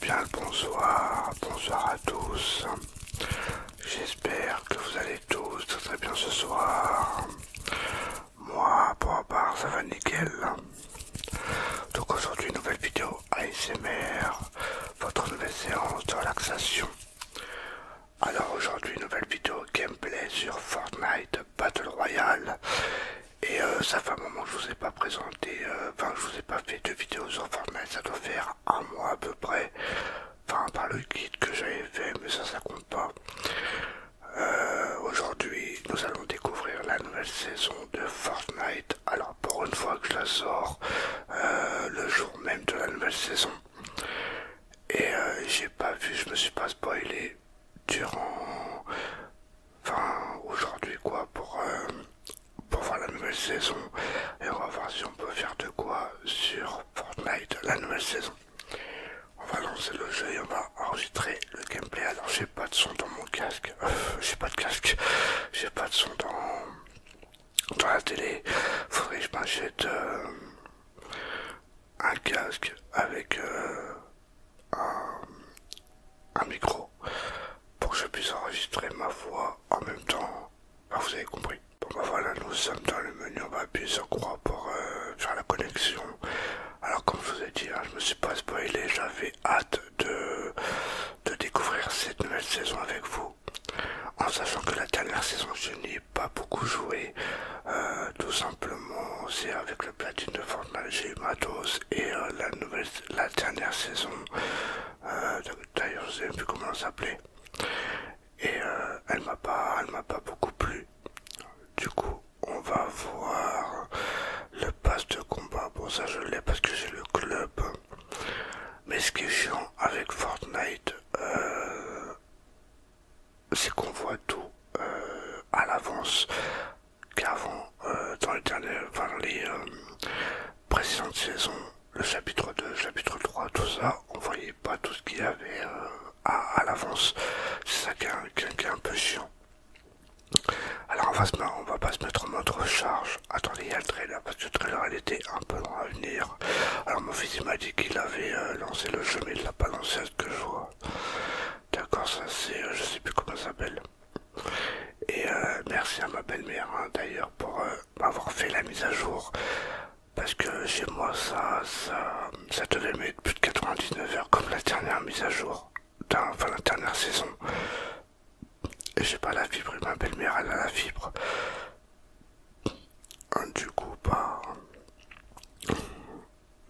Bien le bonsoir, bonsoir à tous. J'espère que vous allez tous très très bien ce soir. Moi, pour ma part, ça va nickel. Donc aujourd'hui, nouvelle vidéo ASMR, votre nouvelle séance de relaxation. Alors aujourd'hui, nouvelle vidéo gameplay sur Fortnite Battle Royale. Et euh, ça fait un moment que je vous ai pas présenté, euh, enfin je vous ai pas fait de vidéo sur Fortnite, ça doit faire un mois à peu près. Enfin par le kit que j'avais fait, mais ça ça compte pas. Euh, aujourd'hui, nous allons découvrir la nouvelle saison de Fortnite alors pour une fois que je la sors euh, le jour même de la nouvelle saison. Et euh, j'ai pas vu, je me suis pas spoilé durant... Enfin aujourd'hui quoi pour, euh, pour voir la nouvelle saison. Et on va voir si on peut faire de quoi sur Fortnite la nouvelle saison. On va lancer le jeu et on va enregistrer le gameplay. Alors j'ai pas de son dans mon casque j'ai pas de casque. J'ai pas de son dans, la télé. Faudrait que je m'achète euh, un casque avec euh, un, micro pour que je puisse enregistrer ma voix en même temps. Ah, vous avez compris. Bon bah voilà, nous sommes dans le menu, on va appuyer sur croix pour euh, faire la connexion. Alors comme je vous ai dit, hein, je me suis pas spoilé, j'avais hâte de, de découvrir cette nouvelle saison avec vous. En sachant que la dernière saison, je n'ai pas beaucoup joué. Euh, tout simplement, c'est avec le platine de Fortnite, j'ai Et euh, la, nouvelle, dernière saison, euh, d'ailleurs, je ne sais plus comment elle s'appelait. Et elle m'a pas, elle m'a pas beaucoup plu. Du coup, on va voir le passe de combat. Bon, ça je l'ai parce que j'ai le club. Mais ce qui est chiant avec Fortnite, euh, c'est qu'on voit tout euh, à l'avance. Qu'avant, euh, dans les, précédentes saisons, le chapitre 2, chapitre 3, tout ça, on voyait pas tout ce qu'il y avait à, l'avance. C'est ça qui est, un, peu chiant. Alors on va, on va pas se mettre en mode recharge, attendez, il y a le trailer, parce que le trailer elle était un peu long à venir. Alors mon fils m'a dit qu'il avait euh, lancé le jeu, mais il l'a pas lancé à ce que je vois. D'accord, ça c'est, euh, je sais plus comment ça s'appelle. Et euh, merci à ma belle-mère hein, d'ailleurs pour m'avoir fait la mise à jour. Parce que chez moi ça, ça, ça devait mettre plus de 99 heures comme la dernière mise à jour, enfin la dernière saison j'ai pas la fibre ma belle-mère elle a la fibre hein, du coup bah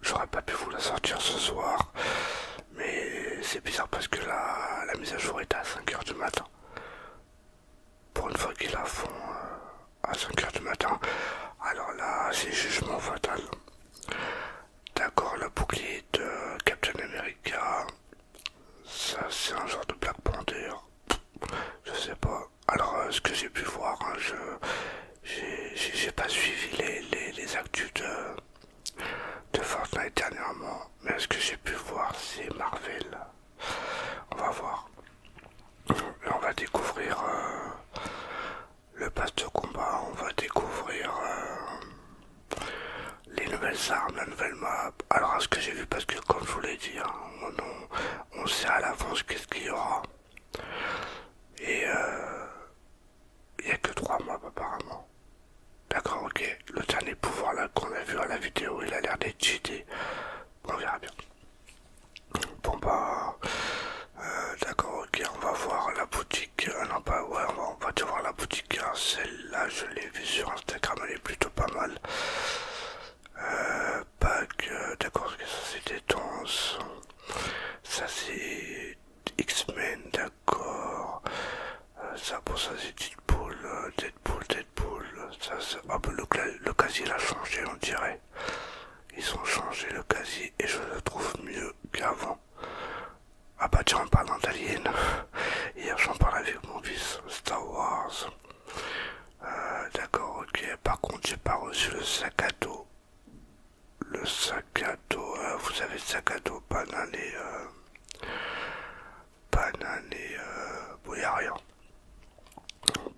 j'aurais pas pu vous la sortir ce soir mais c'est bizarre parce que la, mise à jour est à 5h du matin pour une fois qu'ils la font euh, à 5h du matin alors là c'est jugement fatal d'accord le bouclier de Captain America ça, c'est un genre de Black Panther. Hein. Je sais pas. Alors, euh, ce que j'ai pu voir, hein, je j'ai pas suivi les, les, actus de, Fortnite dernièrement. Mais ce que j'ai pu voir, c'est Marvel. On va voir. on va découvrir euh, le passe de combat. On va découvrir. Euh, les nouvelles armes, la nouvelle map. Alors, à ce que j'ai vu, parce que comme je vous l'ai dit, hein, on, sait à l'avance qu'est-ce qu'il y aura. Et euh, il n'y a que trois maps apparemment. D'accord, ok. Le dernier pouvoir là qu'on a vu à la vidéo, il a l'air d'être cheaté. On verra bien. Bon bah, euh, d'accord, ok. On va voir la boutique. Euh, non, pas, ouais, on va, te voir la boutique. Hein. Celle-là, je l'ai vu sur Instagram, elle est plutôt pas mal. Euh, Pack, euh, d'accord, que ça des tons Ça c'est X-Men, d'accord. Euh, ça pour ça c'est Deadpool, euh, Deadpool, Deadpool. Ça, ah, bah, le, casier l'a changé, on dirait. Ils ont changé le casier et je le trouve mieux qu'avant. Ah bah tiens, en parlant d'Alien, Hier, j'en parlais avec mon fils Star Wars. Euh, d'accord, ok. Par contre, j'ai pas reçu le sac à dos. Le sac à dos, euh, vous avez le sac à dos, banane euh, et. Euh, banane et. a rien.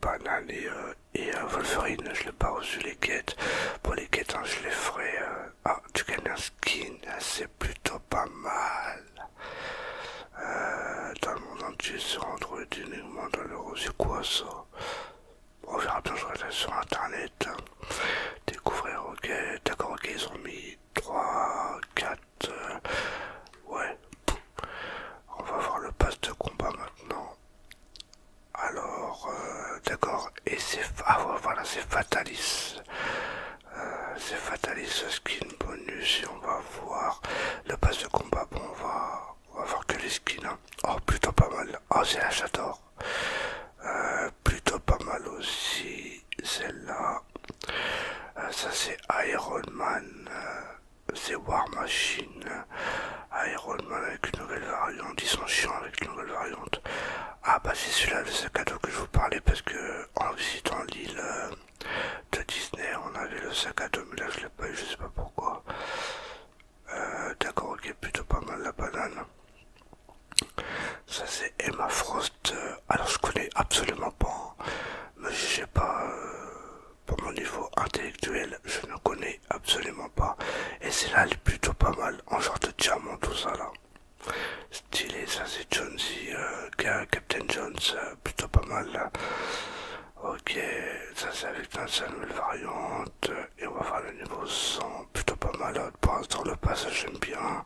Banane et, et Wolverine, je l'ai pas reçu les quêtes. Pour les quêtes, hein, je les ferai. ah, tu gagnes un skin, c'est plutôt pas mal. Euh, dans le monde entier sur Android uniquement dans le c'est quoi ça On verra bien, je regarde sur internet. Découvrir, ok, d'accord, ok, ils ont mis 3, 4, euh, ouais. On va voir le pass de combat maintenant. Alors, euh, d'accord, et c'est... à ah, voilà, c'est Fatalis. Euh, c'est c'est fataliste skin bonus et on va voir le pass de combat. Bon, on va, voir que les skins. Hein. Oh, plutôt pas mal. Oh, c'est la j'adore. Euh, plutôt pas mal aussi. Celle-là. Euh, ça, c'est Iron Man. c'est War Machine. Iron Man avec une nouvelle variante. Ils sont chiants avec une nouvelle variante. Ah, bah, c'est celui-là, le cadeau que je vous parlais parce que en visitant l'île de Disney. On avait le sac à dos, mais là je l'ai pas eu, je sais pas pourquoi. Euh, d'accord, ok, plutôt pas mal la banane. Ça c'est Emma Frost. Euh, alors je connais absolument pas, hein. mais je sais pas. Euh, pour mon niveau intellectuel, je ne connais absolument pas. Et c'est là elle est plutôt pas mal en genre de diamant, tout ça là stylé, ça c'est Jonesy, euh, Captain Jones, euh, plutôt pas mal Ok, ça c'est avec la nouvelle variante, euh, et on va voir le niveau 100, plutôt pas mal, hein. pour l'instant le passage j'aime bien.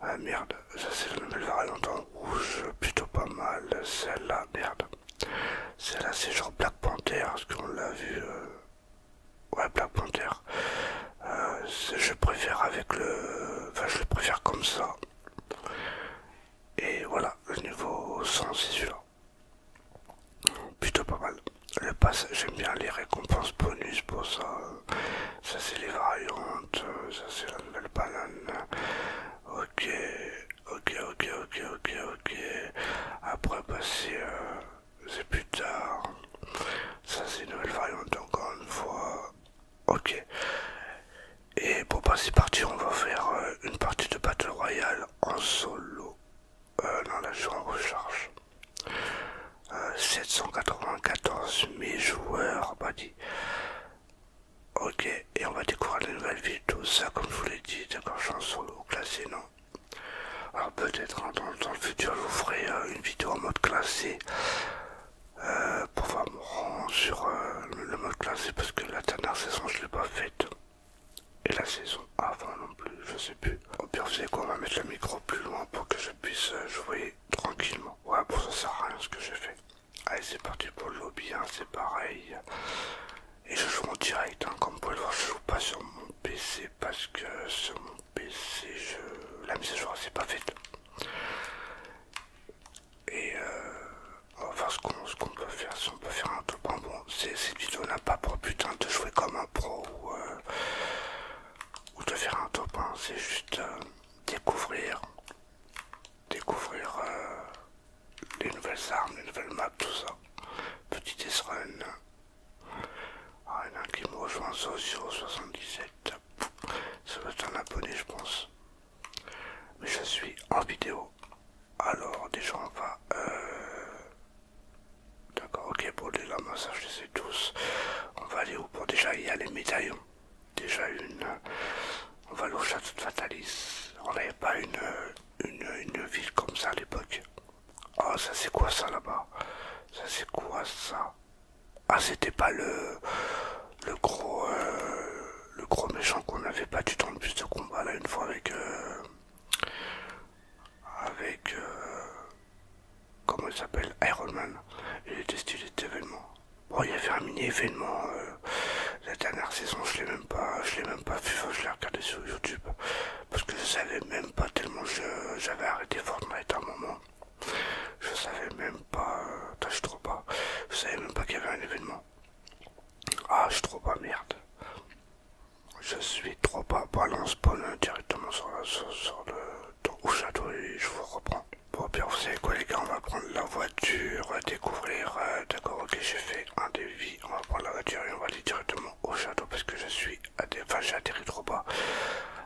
Ah merde, ça c'est la nouvelle variante en rouge, plutôt pas mal, celle-là, merde. Celle-là c'est genre Black Panther, parce qu'on l'a vu, ouais Black Panther. je préfère avec le, enfin je le préfère comme ça. Et voilà, le niveau 100 c'est Plutôt pas mal. Le pass, j'aime bien les récompenses bonus pour ça. Ça c'est les variantes, ça c'est la nouvelle banane. Ok, ok, ok, ok, ok, ok. Après passer, bah, euh, c'est plus tard. Ça c'est une nouvelle variante encore une fois. Ok. Et bon bah c'est parti, on va faire euh, une partie de Battle Royale en solo. Euh, dans non là je en recharge. 794 euh, 000 joueurs, bah dit. Ok, et on va découvrir la nouvelles vidéos ça comme je vous l'ai dit, d'accord, je suis en solo, classé non. Alors peut-être hein, dans, le futur je vous ferai une vidéo en mode classé. Euh, pour faire mon rang sur euh, le mode classé parce que la dernière saison je l'ai pas faite et la saison avant non plus, je sais plus. Au pire, vous savez quoi, on va mettre le micro plus loin pour que je puisse euh, jouer tranquillement. Ouais, pour ça, ça sert à rien ce que j'ai fait. Allez, c'est parti pour le lobby, hein, c'est pareil. Et je joue en direct, hein. comme vous pouvez le voir, je joue pas sur mon PC parce que sur mon PC, je... la mise à jour, c'est pas faite. Et va euh, enfin, ce qu'on peut faire, si on peut faire un top, bon, bon cette vidéo n'a pas pour but hein, de jouer comme un pro ou, euh, de faire un top, 1, hein. c'est juste euh, découvrir, découvrir les nouvelles armes, les nouvelles maps, tout ça. Petit S-Run, ah, il y en a un qui me rejoint, Socio77 ça doit être un abonné, je pense. Mais je suis en vidéo. Alors, déjà, on va. Euh, d'accord, ok, pour les lamas, ça je les ai tous. On va aller où Pour déjà, il y a les médaillons. Déjà une. Euh, on va aller au château de Fatalis. On n'avait pas une, euh, une, une ville comme ça à l'époque. Oh, ça c'est quoi ça là-bas Ça c'est quoi ça ah c'était pas le le gros euh, le gros méchant qu'on avait battu dans le bus de combat là une fois avec euh, avec euh, comment il s'appelle Iron Man. Il était stylé cet événement. Bon il y avait un mini événement la dernière saison je l'ai même pas je l'ai même pas vu je l'ai regardé sur YouTube parce que je savais même pas tellement j'avais arrêté Fortnite à un moment. Je savais même pas. Euh, je trop bas. Je savais même pas qu'il y avait un événement. Ah, je trouve trop bas, merde. Je suis trop bas. balance pas euh, directement sur, le. château et je vous reprends. Bon, bien, vous savez quoi, les gars, on va prendre la voiture, découvrir. Euh, d'accord, ok, j'ai fait un dévi On va prendre la voiture et on va aller directement au château parce que je suis. à Enfin, j'ai atterri trop bas.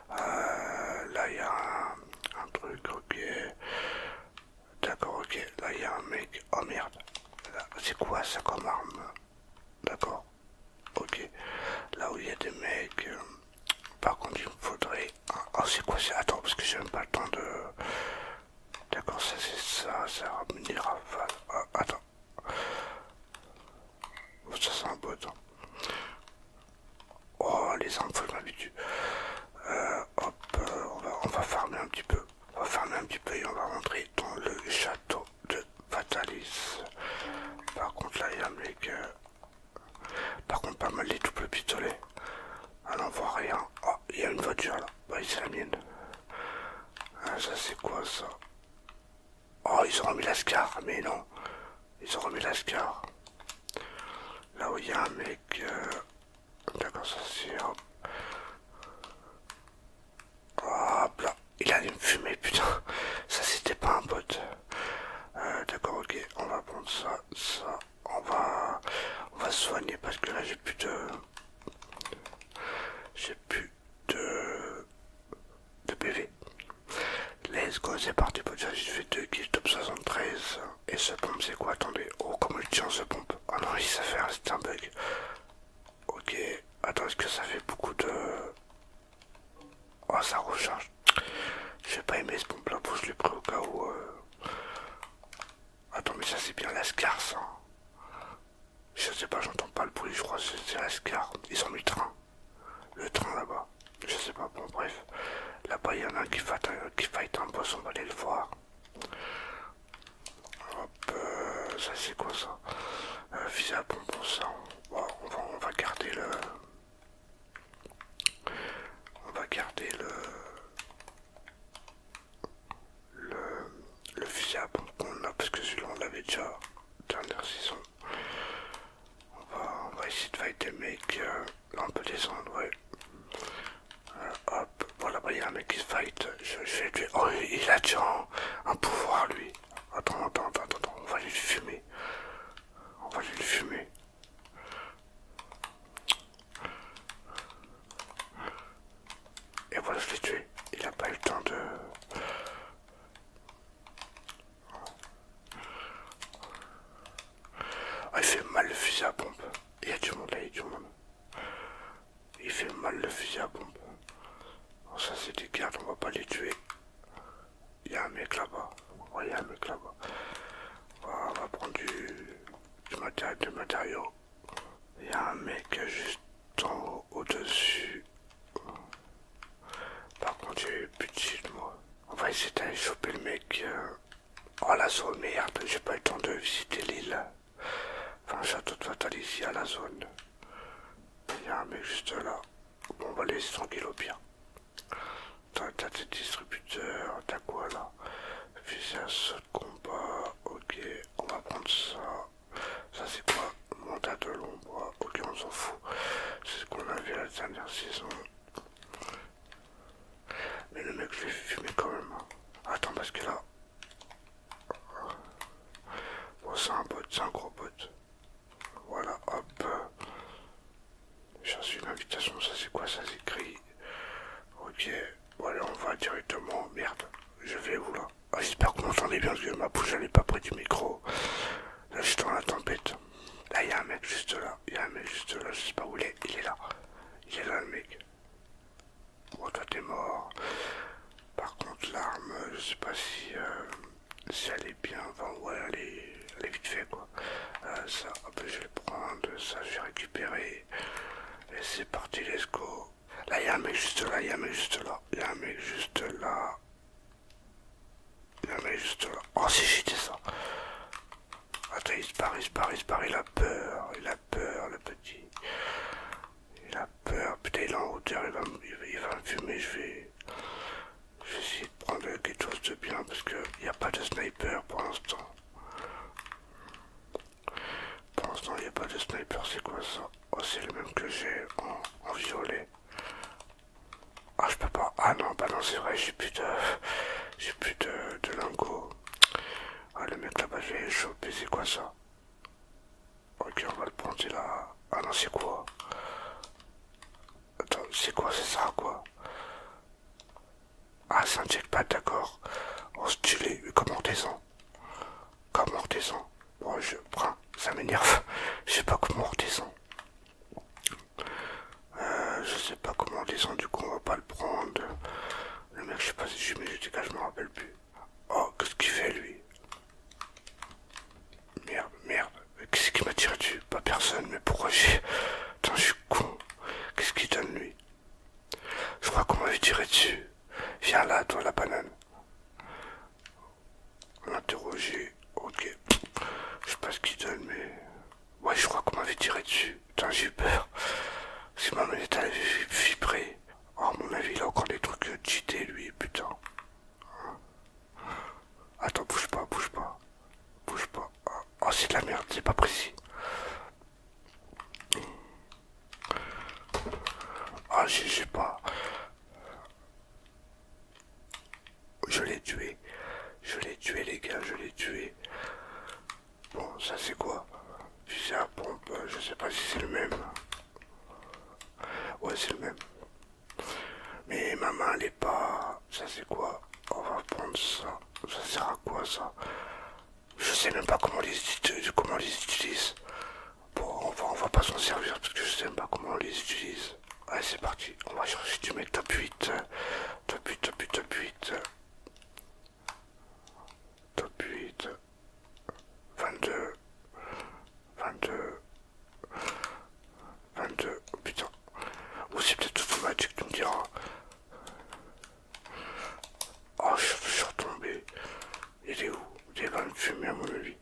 là, il y a un, un truc, ok. D'accord, ok. Là, il y a un mec. Oh merde. C'est quoi ça comme arme D'accord. Ok. Là où il y a des mecs. Euh, par contre, il me faudrait. Un... Oh, c'est quoi ça Attends, parce que j'ai même pas le temps de. D'accord, ça c'est ça. Ça ramène mener rafales. Ah, attends. ça c'est un beau hein. temps Oh, les armes, faut que euh, hop, euh, on, va, on va farmer un petit peu. On va farmer un petit peu et on va rentrer dans le château de Fatalis. Par contre, là, il y a un mec. Euh, par contre, pas mal les doubles pistolets. Ah on voit rien. Oh, il y a une voiture là. Bah, c'est la mienne. Ah, ça, c'est quoi ça Oh, ils ont remis l'ascar, mais non. Ils ont remis l'ascar. Là où il y a un mec. D'accord, ça c'est Hop là, il a me fumer putain. Ça c'était pas un pote. Euh, d'accord, ok, on va prendre ça, ça. On va, on va soigner parce que là j'ai plus de, j'ai plus de, de PV. Let's go, c'est parti. J'ai fait 2 kills top 73. Et ce pompe c'est quoi Attendez. Oh comme il tient ce pompe Ah non il s'est fait c'est un bug. Ok. Attends est-ce que ça fait beaucoup de... Oh ça recharge. J'ai pas aimé ce pompe là, pousse je l'ai pris au cas où... Euh. Attends mais ça c'est bien la ça. Hein. Je sais pas, j'entends pas le bruit, je crois que c'est la scar. Ils ont mis le train. Le train là-bas. Je sais pas, bon bref. Là-bas il y en a qui fait un, qui fight un boss, on va aller le voir. Hop, euh, ça c'est quoi ça fusil euh, à bonbon, ça. on, va, garder le. On va garder le. Le, le pompe qu'on a parce que celui-là on l'avait déjà dernière saison. On va, essayer de fight des mecs. là euh, on peut descendre, ouais hop, voilà, bah, il y a un mec qui se fight. Je, vais tuer. Oh, il, a attire un, pouvoir lui. Attends, attends, attends, attends, on va lui le fumer. On va lui le fumer. Et voilà, je l'ai tué. Il a pas eu le temps de. Ah, il fait mal le fusil à pompe. Il y a du monde là, il y a du monde. Il fait mal le fusil à pompe. ça c'est des gardes, on va pas les tuer. Il y a un mec là-bas. là on va prendre du, matériel, du Il y a un mec juste en haut, au-dessus. Par contre, j'ai eu plus de moi. On va essayer d'aller choper le mec. Euh, Oh la zone, merde, j'ai pas eu le temps de visiter l'île. Enfin, château de fatal ici à la zone. Il y a un juste là. Bon, on va laisser tranquille au bien. T'as tes distributeurs, t'as quoi là Fusil de combat, ok, on va prendre ça. Ça c'est quoi tas de l'ombre, ok, on s'en fout. C'est ce qu'on vu la dernière saison. Mais le mec, je fumer quand même. Hein. Attends, parce que là. Bon, c'est un bot, c'est un gros bot. Voilà, hop. J'ai reçu une invitation, ça c'est quoi Ça s'écrit. Ok, bon, allez, on va directement. Merde, je vais où là ah, j'espère J'espère vous m'entendez bien parce que ma bouche elle pas près du micro. Là, je suis dans la tempête. Là, ah, il y a un mec juste là. Il y a un mec juste là, je sais pas où il est. Il est là. Il est là, le mec. Bon toi t'es mort. Par contre, l'arme, je sais pas si, euh, si elle est bien. Enfin, ouais, elle est, vite fait quoi. Euh, ça, hop, je vais le prendre. Ça, je vais récupérer. Et c'est parti, let's go. Là, y'a un mec juste là. y'a un mec juste là. y'a un mec juste là. Il un mec juste là. Oh, si j'étais ça. Attends, il se barre, il se barre, il se barre. Il a peur peur, le petit. Il a peur. Putain, il est en hauteur, il va, il va me fumer. Je vais, je essayer de prendre quelque chose de bien parce qu'il n'y a pas de sniper pour l'instant. Pour l'instant, il n'y a pas de sniper. C'est quoi ça Oh, c'est le même que j'ai en, violet. Ah, je peux pas. Ah non, bah non, c'est vrai, j'ai plus de. J'ai plus de lingots. Ah, le mec là-bas, j'ai vais choper, c'est quoi ça Ok, on va le prendre, c'est là. Ah non, c'est quoi Attends, c'est quoi, c'est ça, quoi Ah, c'est un pas d'accord. On oh, se comment on descend Comment on descend Bon, je prends, ça m'énerve. je sais pas comment on descend. Euh, je sais pas comment on descend, du coup, on va pas le prendre. Le mec, je sais pas si j'ai mis le dégât, je m'en rappelle plus. Oh, qu'est-ce qu'il fait lui Merde, merde. Qu'est-ce qu'il m'a tiré dessus Pas personne, mais pourquoi j'ai. Attends, je suis con. Qu'est-ce qu'il donne lui Je crois qu'on m'avait tiré dessus. Viens là, toi, la banane. interrogé Ok. Je sais pas ce qu'il donne, mais. Ouais, je crois qu'on m'avait tiré dessus. Putain, j'ai peur. Si ma manette, elle Oh, mon avis, il a encore des trucs cheatés, euh, lui, putain. Attends, bouge pas, bouge pas. Bouge pas. Ah, oh, c'est de la merde, c'est pas précis. Ah, je j'ai pas. Je l'ai tué. Je l'ai tué, les gars, je l'ai tué. Bon, ça c'est quoi pompe, euh, je sais pas si c'est le même. Ouais, c'est le même. Mais ma main, elle est pas... Ça c'est quoi On va prendre ça. Ça sert à quoi ça Je sais même pas comment les, comment les utilise. Bon, on va, on va pas s'en servir parce que je sais même pas comment on les utilise. Allez, c'est parti. On va chercher du mec top 8. Euh, top 8, top 8, top 8. Top 8. 22. 22. 22. putain. Ou c'est peut-être automatique, tu me diras. Oh, je, suis retombé. Il est où Il est dans le mon avis.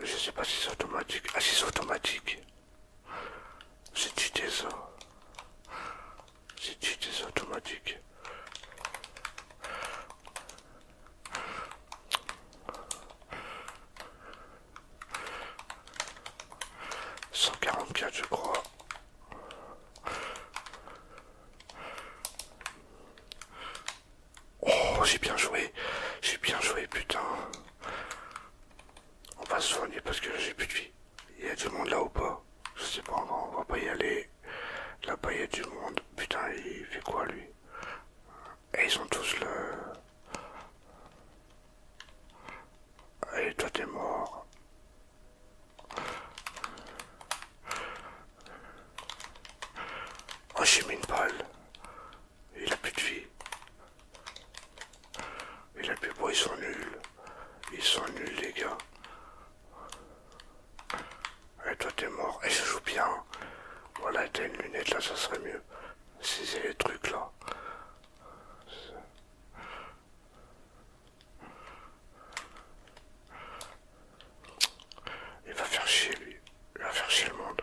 Je sais pas si c'est automatique. Ah, si c'est automatique. C'est-tu des J'ai C'est-tu des automatiques Cent je crois. Oh j'ai bien joué, j'ai bien joué putain. On va se soigner parce que j'ai plus de vie. Il y a du monde là ou pas Je sais pas, on va, on va pas y aller. Là-bas, il y a du monde. Putain, il fait quoi lui Et eh, ils sont tous là. Et eh, toi, t'es mort. Oh, j'ai mis une balle. Il a plus de vie. Et les plus ils sont nuls. Ils sont nuls, les gars. Et toi, t'es mort. Et je joue bien. Voilà, t'as une lunette là, ça serait mieux. Si c'est les trucs là. Il va faire chier lui. Il va faire chier le monde.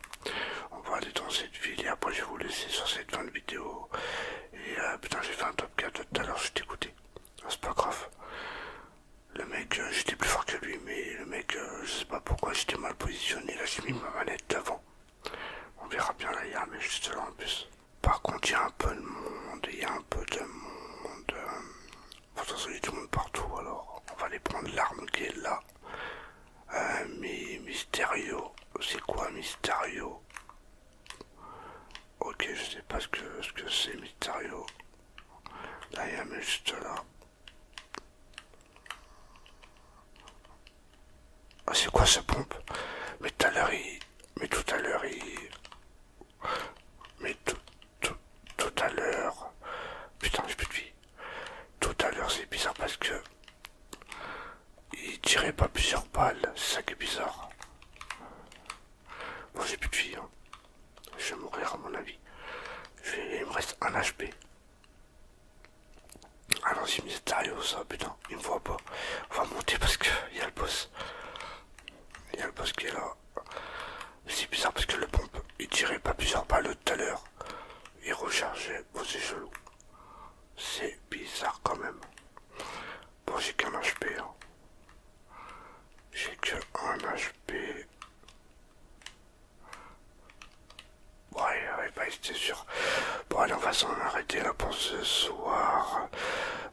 on va aller dans cette ville et après je vais vous laisser sur cette fin de vidéo. Et euh, putain j'ai fait un top 4 tout à l'heure, j'étais goûté. C'est pas grave. Le mec, euh, j'étais plus fort que lui, mais le mec, euh, je sais pas pourquoi j'étais mal positionné. Là, j'ai mis ma manette devant. On verra bien là, il y a un juste là en plus. Par contre, il y a un peu de monde, il y a un peu de monde. monde partout, alors on va aller prendre l'arme qui est là un euh, mystérieux c'est quoi Mysterio Ok, je sais pas ce que ce que c'est Mysterio. Là, ah, il y a juste là. Ah, c'est quoi ce pompe Mais tout à l'heure, il... Mais tout à l'heure, Mais tout, tout, tout à l'heure... Putain, j'ai plus de vie. Tout à l'heure, c'est bizarre parce que il tirait pas plusieurs balles, c'est ça qui est bizarre. Moi j'ai plus de vie, hein. je vais mourir à mon avis. Il me reste un HP. Ah non, c'est mystérieux ça, putain, il me voit pas. On va monter parce qu'il y a le boss. Il y a le boss qui est là. C'est bizarre parce que le pompe, il tirait pas plusieurs balles tout à l'heure. Il rechargeait, vos c'est c'est bizarre quand même. Bon, j'ai qu'un HP. Hein. J'ai que un HP. Bon, allez, ouais, pas c'était sûr. Bon, allez, on va s'en arrêter là pour ce soir.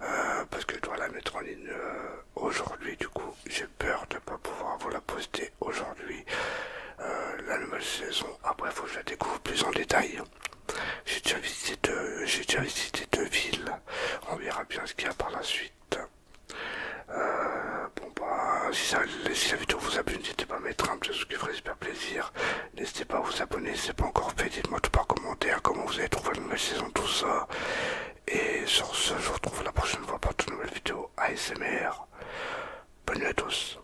Euh, parce que je dois la mettre en ligne euh, aujourd'hui. Du coup, j'ai peur de ne pas pouvoir vous la poster aujourd'hui. Euh, la nouvelle saison. Après, ah, faut que je la découvre plus en détail. J'ai déjà visité deux, j'ai déjà visité deux villes. On verra bien ce qu'il y a par la suite. Euh, bon bah si, si la vidéo vous a plu n'hésitez pas à mettre un petit qui ferait super plaisir n'hésitez pas à vous abonner si c'est pas encore fait dites moi tout par commentaire comment vous avez trouvé la nouvelle saison tout ça et sur ce je vous retrouve la prochaine fois pour une nouvelle vidéo ASMR bonne nuit à tous